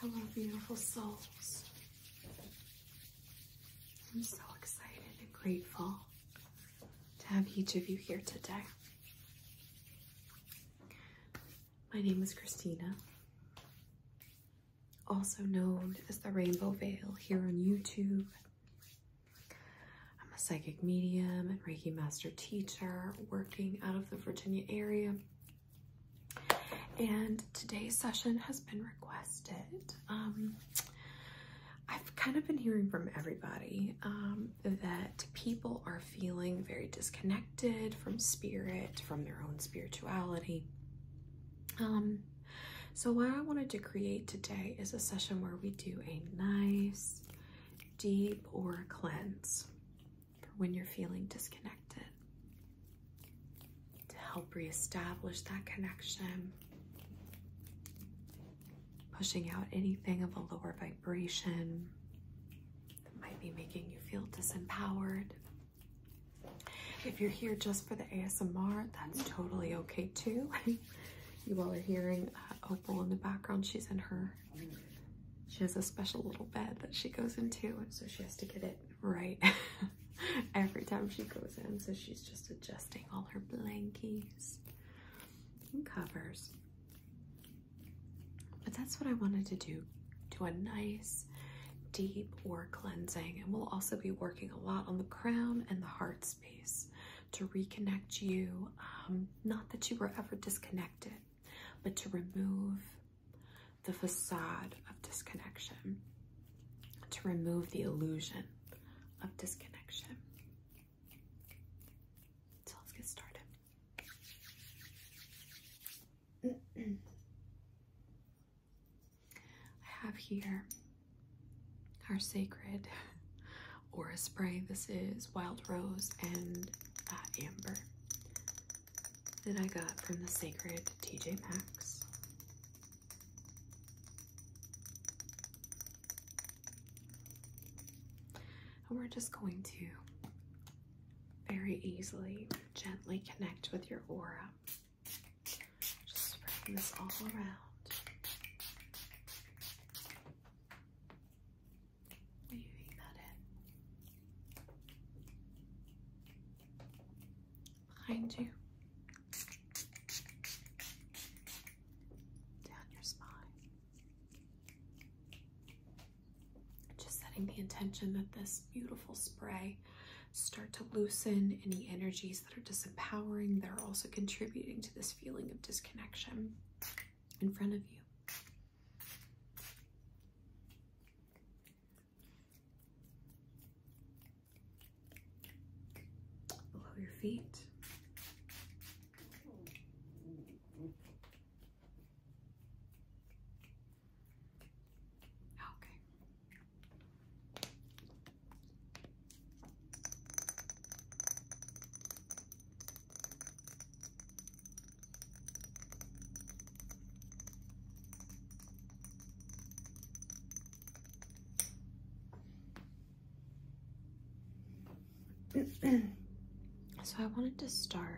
Hello, beautiful souls. I'm so excited and grateful to have each of you here today. My name is Christina, also known as the Rainbow Veil here on YouTube I'm a psychic medium and Reiki master teacher working out of the Virginia area. And today's session has been requested. Um, I've kind of been hearing from everybody um, that people are feeling very disconnected from spirit, from their own spirituality. Um, so what I wanted to create today is a session where we do a nice deep or cleanse for when you're feeling disconnected to help reestablish that connection, pushing out anything of a lower vibration that might be making you feel disempowered. If you're here just for the ASMR, that's totally okay too. you all are hearing uh, Opal in the background. She's in her she has a special little bed that she goes into, so she has to get it right every time she goes in. So she's just adjusting all her blankies and covers. But that's what I wanted to do. Do a nice deep or cleansing. And we'll also be working a lot on the crown and the heart space to reconnect you. Um, not that you were ever disconnected, but to remove the facade of disconnection, to remove the illusion of disconnection. So let's get started. I have here our sacred aura spray. This is Wild Rose and uh, Amber that I got from the Sacred TJ Maxx. And we're just going to very easily, gently connect with your aura. Just spreading this all around. Are that in? Behind you. Down your spine. Just setting the intention that this beautiful spray start to loosen any energies that are disempowering that are also contributing to this feeling of disconnection in front of you. Below your feet. Oh, okay so I wanted to start.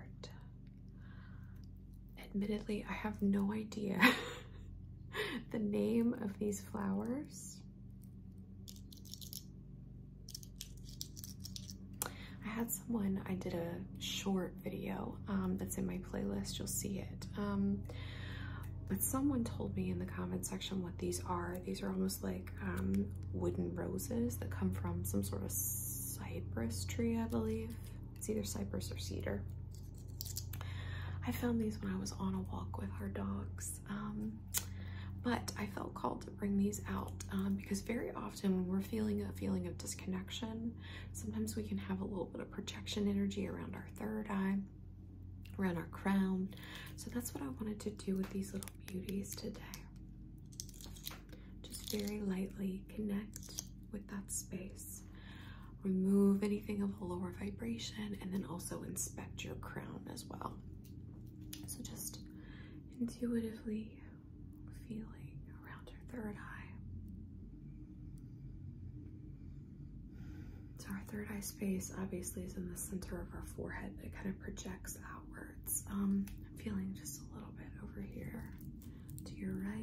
Admittedly, I have no idea the name of these flowers. I had someone, I did a short video um, that's in my playlist, you'll see it. Um, but someone told me in the comment section what these are. These are almost like um, wooden roses that come from some sort of cypress tree, I believe. It's either cypress or cedar. I found these when I was on a walk with our dogs. but I felt called to bring these out because very often often when we're feeling a feeling of disconnection, sometimes we can have a little bit of projection energy around our third eye, around our crown. So that's what I wanted to do with these little beauties today. Just very lightly connect with that space. Remove anything of a lower vibration and then also inspect your crown as well. So just intuitively feeling around her third eye. So, our third eye space obviously is in the center of our forehead but it kind of projects outwards. Um, I'm feeling just a little bit over here to your right.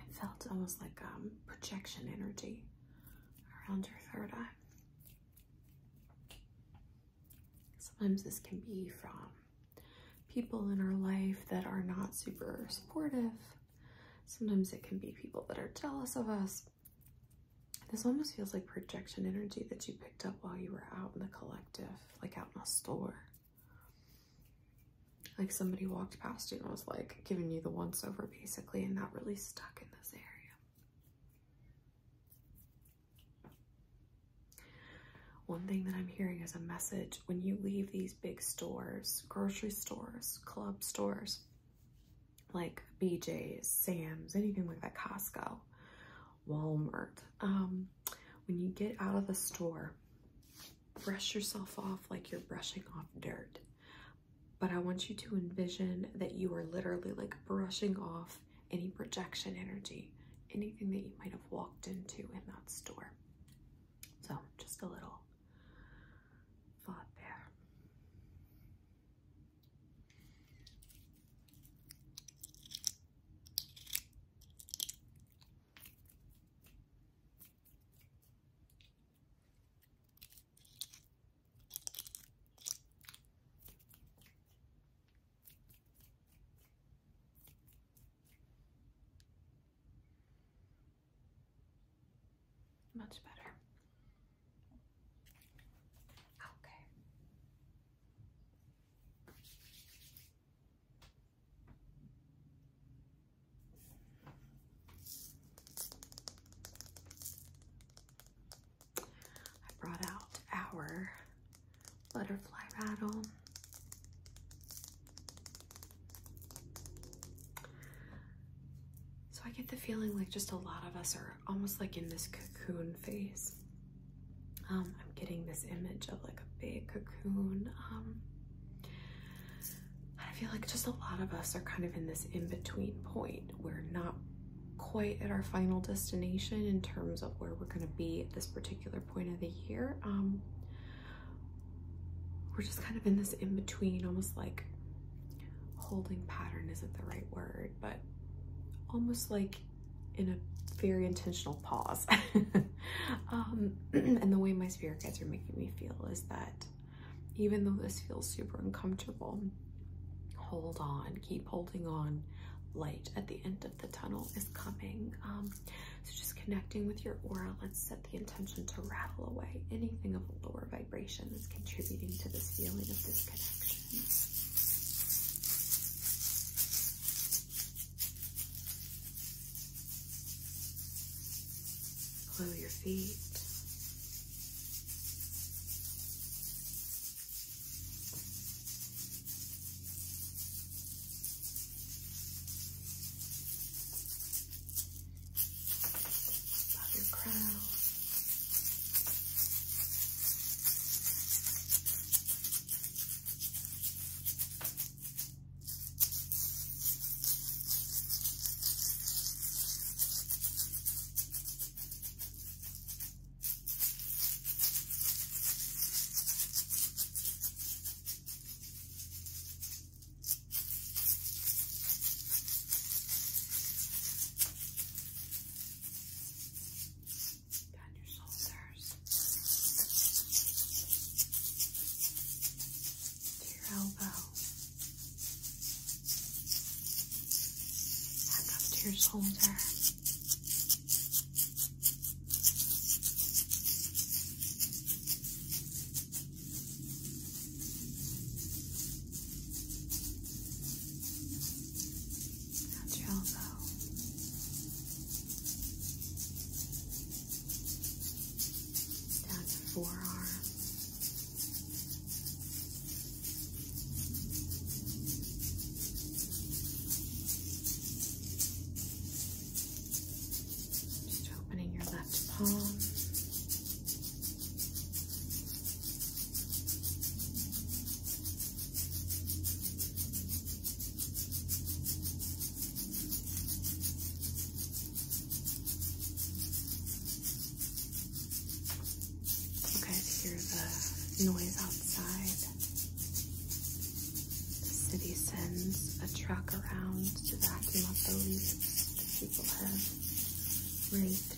It felt almost like um, projection energy around your third eye. Sometimes this can be from people in our life that are not super supportive. Sometimes it can be people that are jealous of us. This almost feels like projection energy that you picked up while you were out in the collective, like out in a store. Like somebody walked past you and was like giving you the once over basically and that really stuck in this area. One thing that I'm hearing is a message when you leave these big stores, grocery stores, club stores, like BJ's, Sam's, anything like that, Costco, Walmart, um, when you get out of the store, brush yourself off like you're brushing off dirt. But I want you to envision that you are literally like brushing off any projection energy, anything that you might have walked into in that store. So just a little thought there. Much better. Okay. I brought out our butterfly rattle. So I get the feeling like just a lot of us are almost like in this cocoon phase. Um, I'm getting this image of like a big cocoon. Um, I feel like just a lot of us are kind of in this in-between point. We're not quite at our final destination in terms of where we're going to be at this particular point of the year. Um, we're just kind of in this in-between, almost like holding pattern isn't the right word, but almost like in a very intentional pause. Um, and the way my spirit guides are making me feel is that even though this feels super uncomfortable, hold on, keep holding on. Light at the end of the tunnel is coming. Um, so just connecting with your aura, let's set the intention to rattle away anything of a lower vibration that's contributing to this feeling of disconnection. Blow your feet. Blow your crown. Blow down your shoulders to your elbow, back up to your shoulder. to your elbow down forearm. Just opening your left palm. You guys hear the noise outside. The city sends a truck around to vacuum up the leaves that people have raked.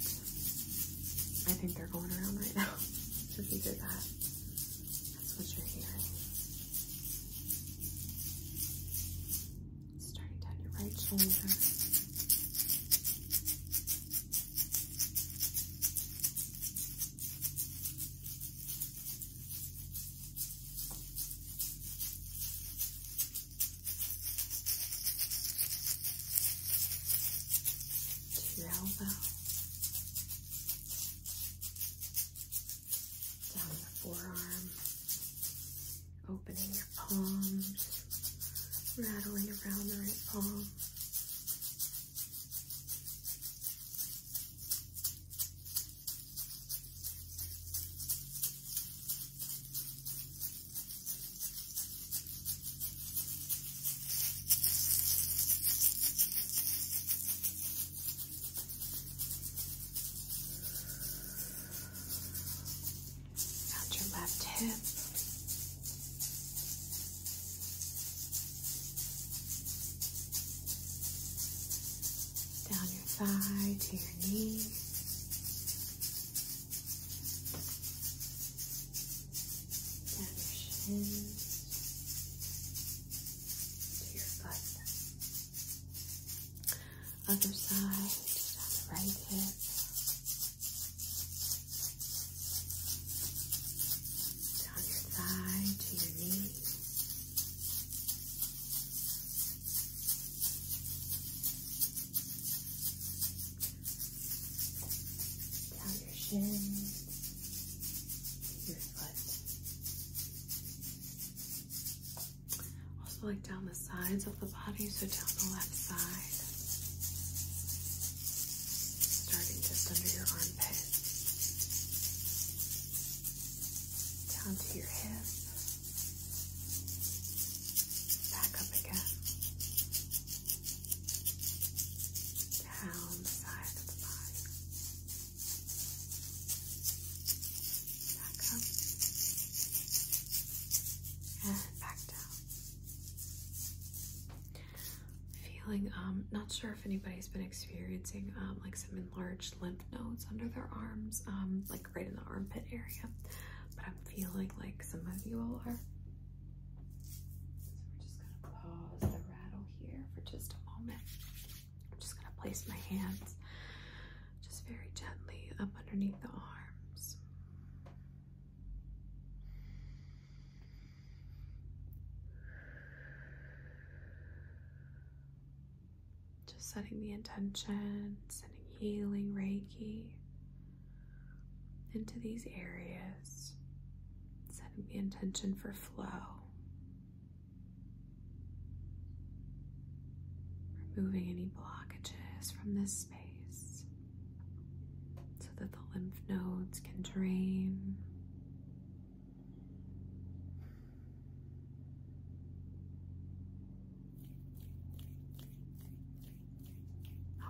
I think they're going around right now. Just either that that's what you're hearing. Starting down your right shoulder. elbow down your forearm, opening your palms, rattling around the right palm. Around your left hip. Down your thigh to your knee. Down your shin to your foot. Other side, just right hip. Down your thigh to your knee. Down your shin, your foot. Also, like down the sides of the body, so down the left side, starting just under your armpit, down to your hip, back up again, down the side of the body. Back up. And back down. Feeling, um, not sure if anybody's been experiencing, um, like some enlarged lymph nodes under their arms, um, like right in the armpit area, but I'm feeling like some of you all are. So we're just gonna pause the rattle here for just a moment. I'm just going to place my hands just very gently up underneath the arms. Just setting the intention, sending healing Reiki into these areas, setting the intention for flow, Removing any blockages from this space so that the lymph nodes can drain.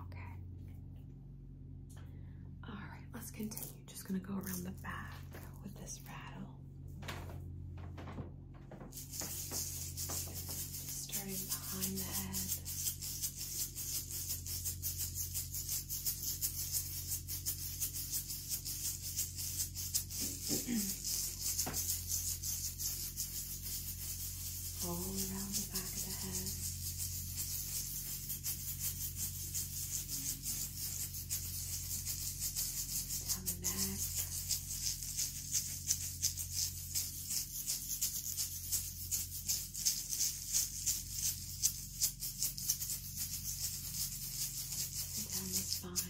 Okay. All right, let's continue. Just going to go around the back with this rattle. Just behind the head. All around the back of the head down the neck. And down the spine. Down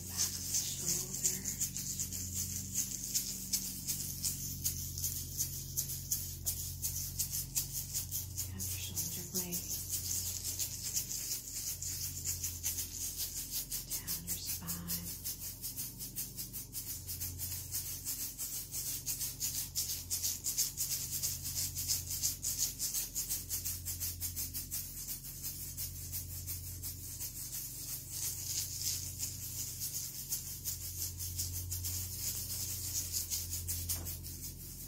the back of the shoulder. Down your shoulder blade. Down your spine. Down your back.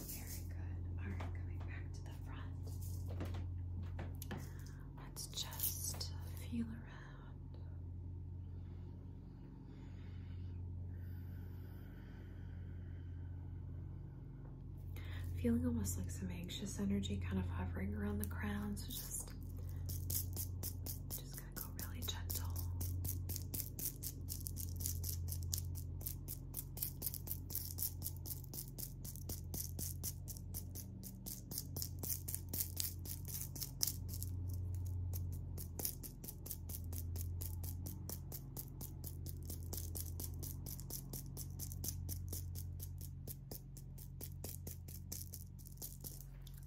Very good. All right, coming back to the front. Let's just feel around. Feeling almost like some anxious energy kind of hovering around the crown, so just just gonna go really gentle.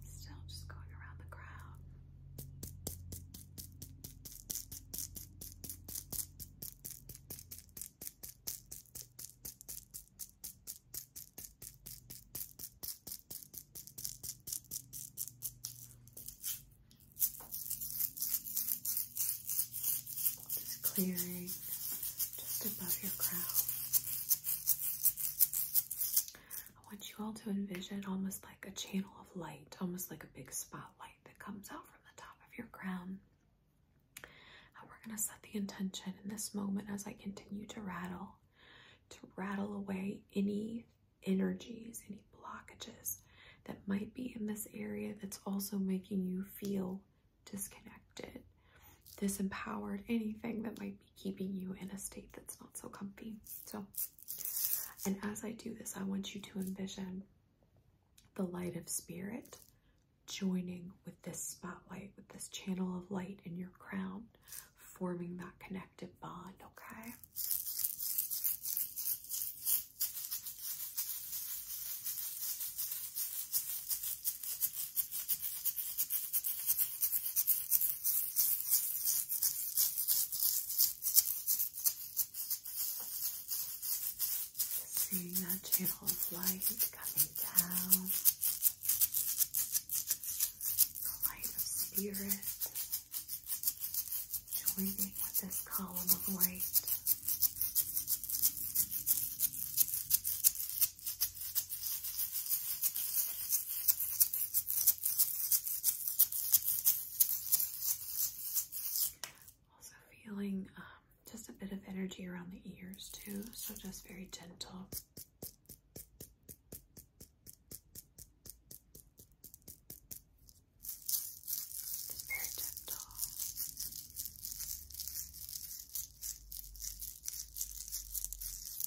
Still just going around the crowd. Just clearing just above your crown. I want you all to envision almost like a channel of light, almost like a big spotlight that comes out from the top of your crown. And we're going to set the intention in this moment as I continue to rattle, to rattle away any energies, any blockages that might be in this area that's also making you feel disconnected disempowered, anything that might be keeping you in a state that's not so comfy. So, and as I do this, I want you to envision the light of spirit joining with this spotlight, with this channel of light in your crown, forming that connected bond, okay? Seeing that channel of light coming down, the light of spirit joining with this column of light. Also feeling um, just a bit of energy around the ears too, so just very gentle. Just very gentle.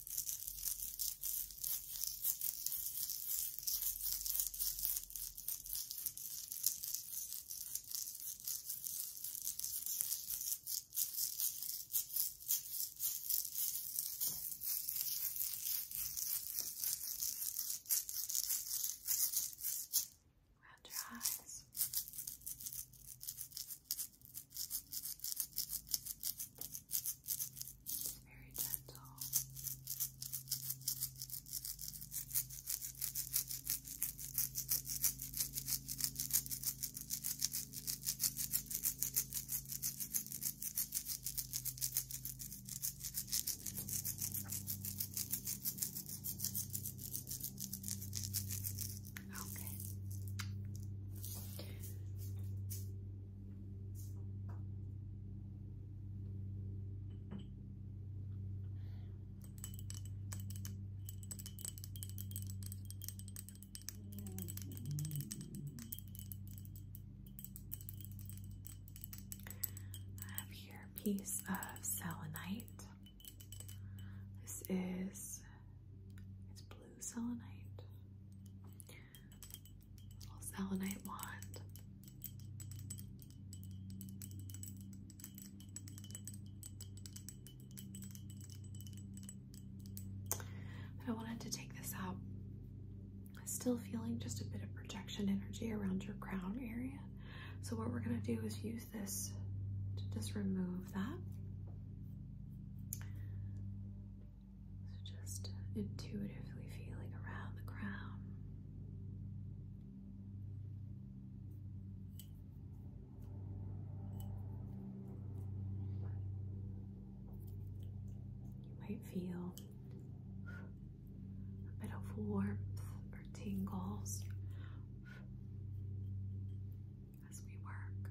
Round your eyes. Good. It's very gentle. Okay. I have here a piece of selenite. This is it's blue selenite. Little selenite wand. I wanted to take this out. Still feeling just a bit of projection energy around your crown area. So what we're gonna do is use this to just remove that. So just intuitively feeling around the crown. You might feel a bit of warmth or tingles as we work.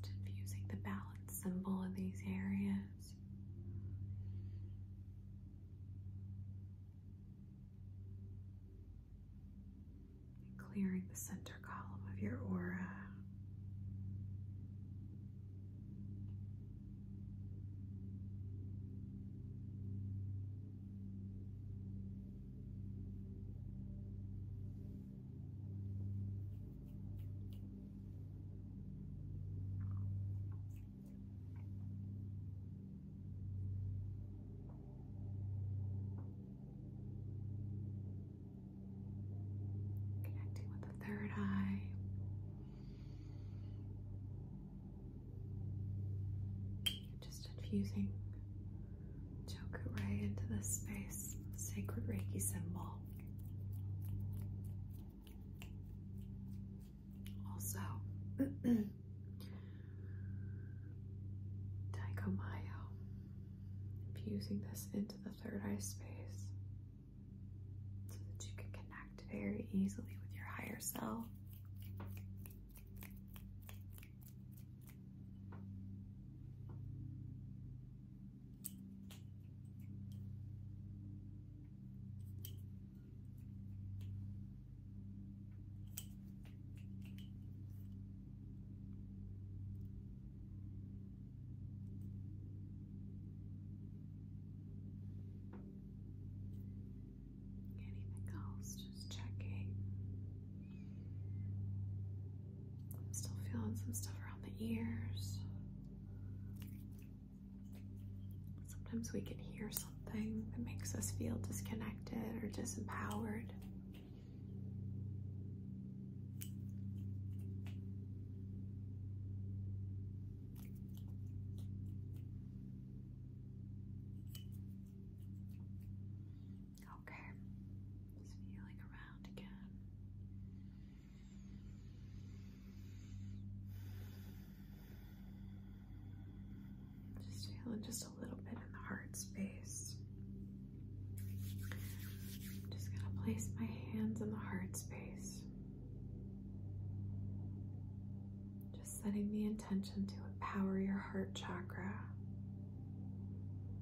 Just infusing the balance symbol in these areas clearing the center column of your aura. Connecting with the third eye. Just infusing Chokuray into this space, sacred Reiki symbol. Also, Japan, infusing this into the third eye space so that you can connect very easily with your higher self. Anything else? Just checking. I'm still feeling some stuff around the ears. Sometimes we can hear something that makes us feel disconnected or disempowered. Okay, just feeling around again. Just feeling just a little bit in the heart space. just gonna place my hands in the heart space. Just setting the intention to empower your heart chakra.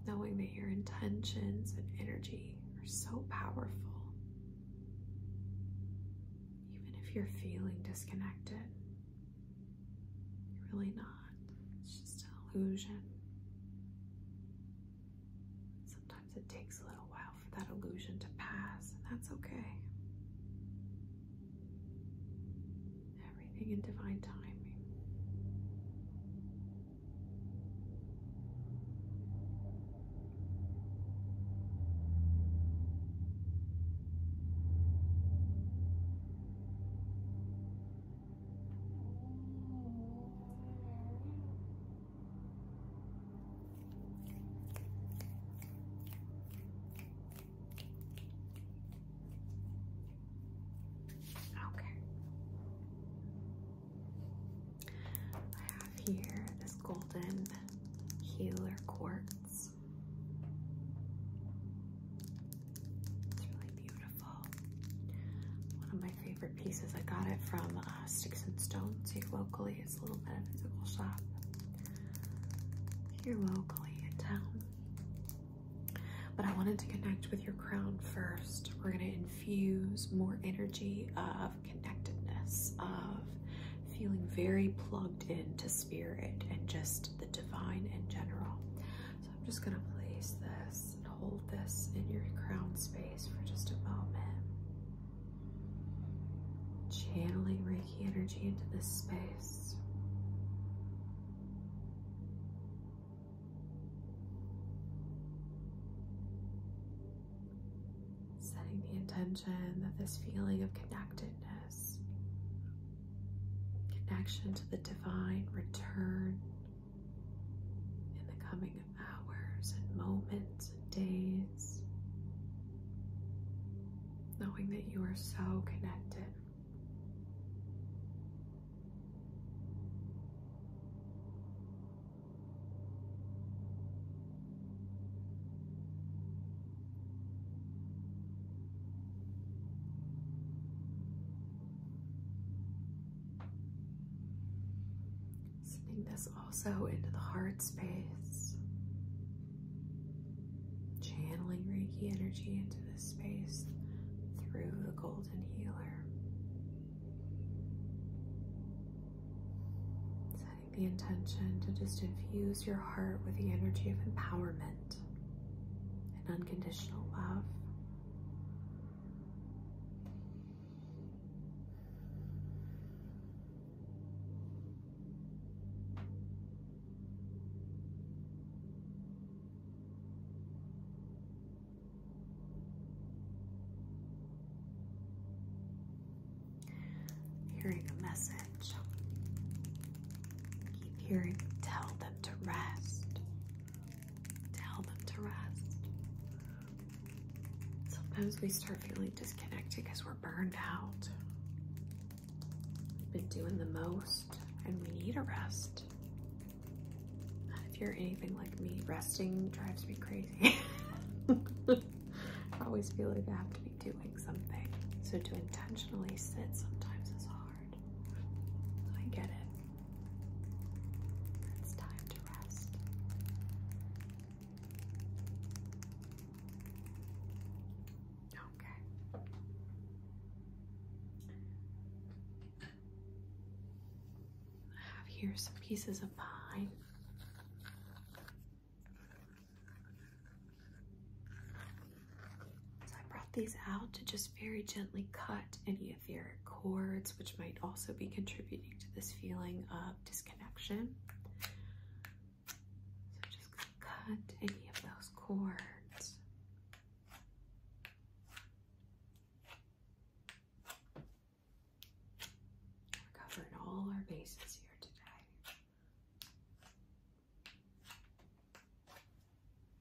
Knowing that your intentions and energy are so powerful. Even if you're feeling disconnected, you're really not. It's just an illusion. Sometimes it takes a little while for that illusion to pass, and that's okay. Everything in divine timing. Okay. I have here this golden healer quartz. It's really beautiful. One of my favorite pieces. I got it from uh, Sticks and Stones here locally. It's a little metaphysical shop here locally in town. But I wanted to connect with your crown first. We're going to infuse more energy of connectedness, of feeling very plugged into spirit and just the divine in general. So I'm just gonna place this and hold this in your crown space for just a moment. Channeling Reiki energy into this space. Setting the intention that this feeling of connectedness connection to the divine return in the coming of hours and moments and days, knowing that you are so connected. Sending this also into the heart space. Channeling Reiki energy into this space through the golden healer. Setting the intention to just infuse your heart with the energy of empowerment and unconditional love. Hearing a message Keep hearing, tell them to rest. Tell them to rest. Sometimes we start feeling disconnected because we're burned out. We've been doing the most and we need a rest. If you're anything like me, resting drives me crazy. I always feel like I have to be doing something. So to intentionally sit sometimes is hard. I get it. It's time to rest. Okay. I have here some pieces of pine. So I brought these out to just very gently cut any etheric cords, which might also be contributing to this feeling of disconnection. So just cut any of those cords. covering all our bases here today.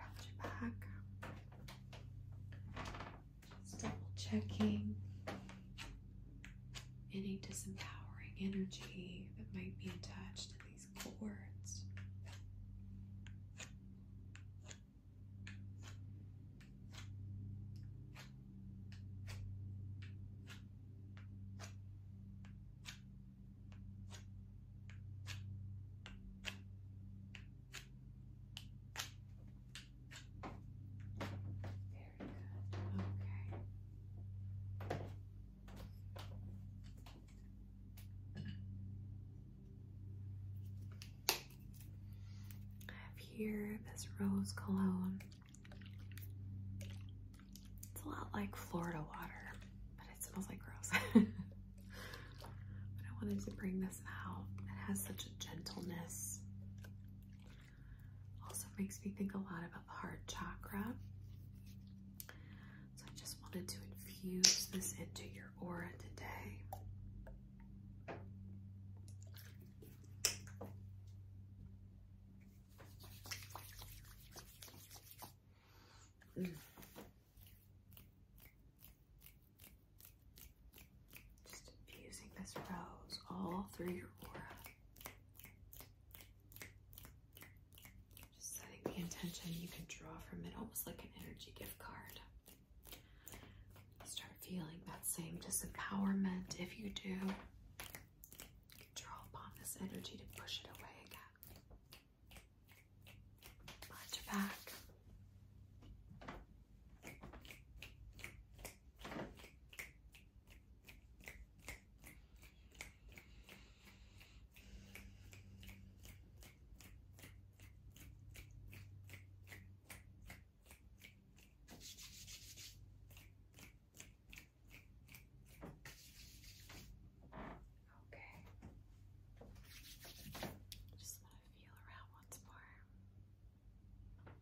around your back. double checking any disempowering energy that might be attached to these cords. Very good. Okay. I have here this rose cologne. It's a lot like Florida water, but it smells like gross. but I wanted to bring this out. It has such a gentleness. Also makes me think a lot about the heart chakra. So I just wanted to infuse this into your aura today. Mm. Just infusing this rose all through your aura. Just setting the intention you can draw from it almost like an energy gift card. Start feeling that same disempowerment if you do. You can draw upon this energy to push it away again. Watch your back. Okay. Just want to feel around once more. Okay.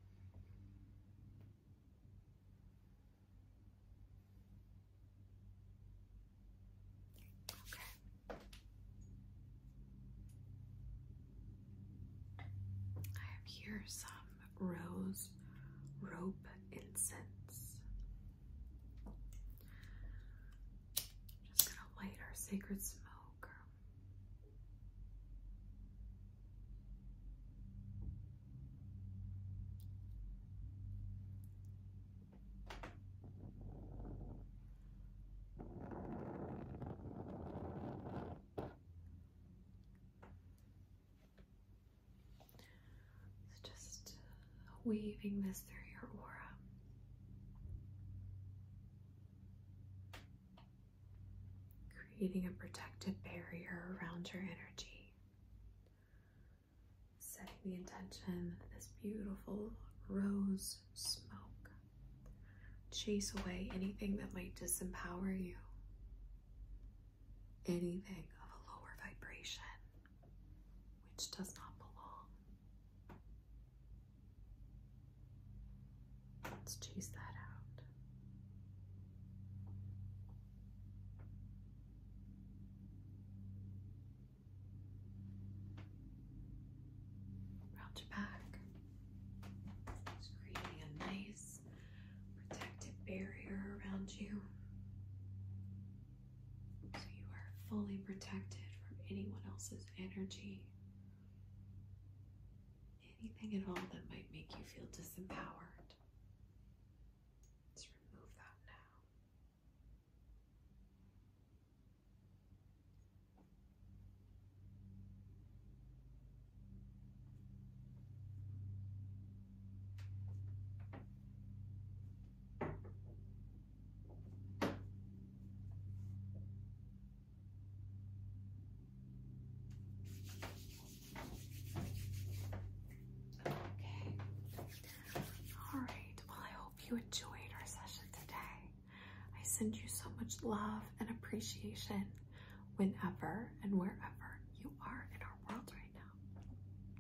I have here some rose rope incense. Just gonna light our sacred smoke. So just weaving this through your aura. Creating a protective barrier around your energy. Setting the intention that this beautiful rose smoke chase away anything that might disempower you, anything of a lower vibration which does not belong. Let's chase that out. Round your back. Just creating a nice protective barrier around you. So you are fully protected from anyone else's energy, anything at all that might make you feel disempowered. Let's remove that now. All right. Well, I hope you enjoyed our session today. I send you so much love and appreciation whenever and wherever you are in our world right now.